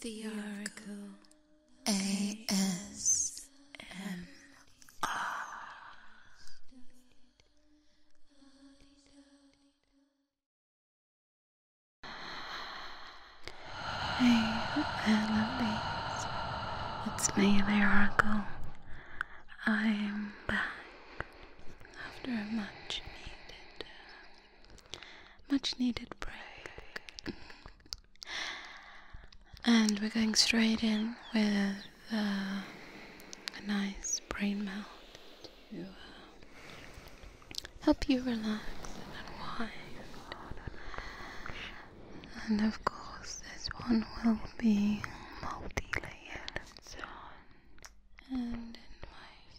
Thearco ASMR. Hey, I love these. It's me, The Lyrical. I'm back after a much needed uh, much needed break. And we're going straight in with uh, a nice brain melt to uh, help you relax and unwind. And of course, this one will be multi layered. And in my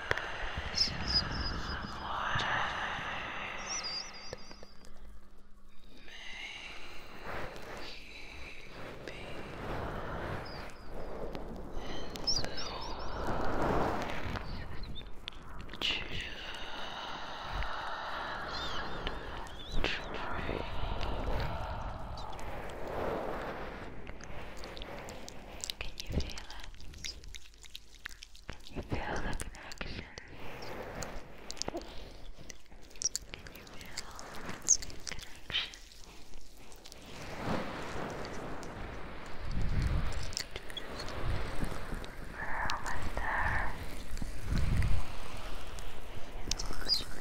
pieces of may be and so just dream. Can you feel it? Can you feel the connection? Can you feel the connection? We're almost there. Good.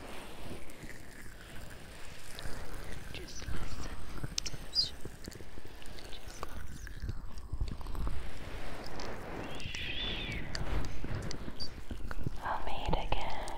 Just listen. Just, listen. I'll meet again.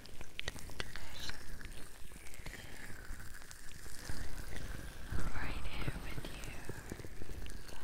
Right here with you. Right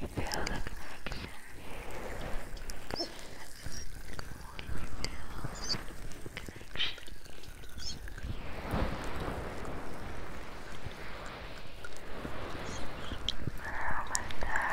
You feel the connection. So that's more connections.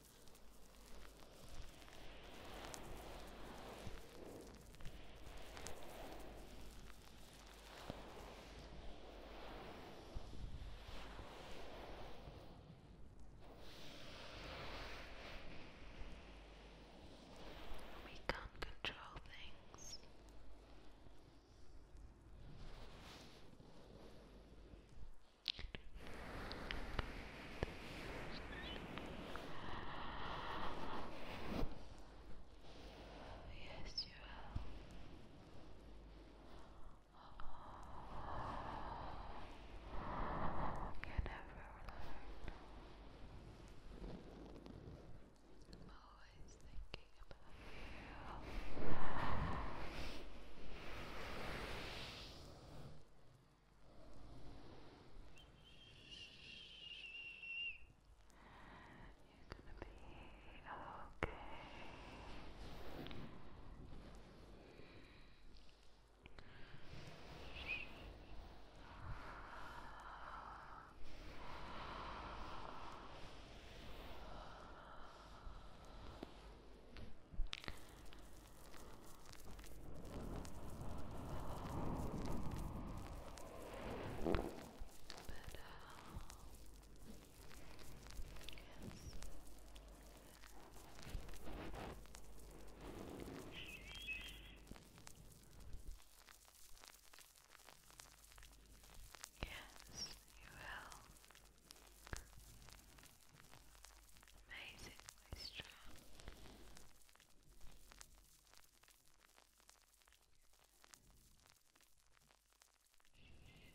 We can't control things. Yes, you are. can never learn. I'm always thinking about you. You're gonna be okay. You're but, uh, yes. Yes, you will amazingly strong. You can feel it.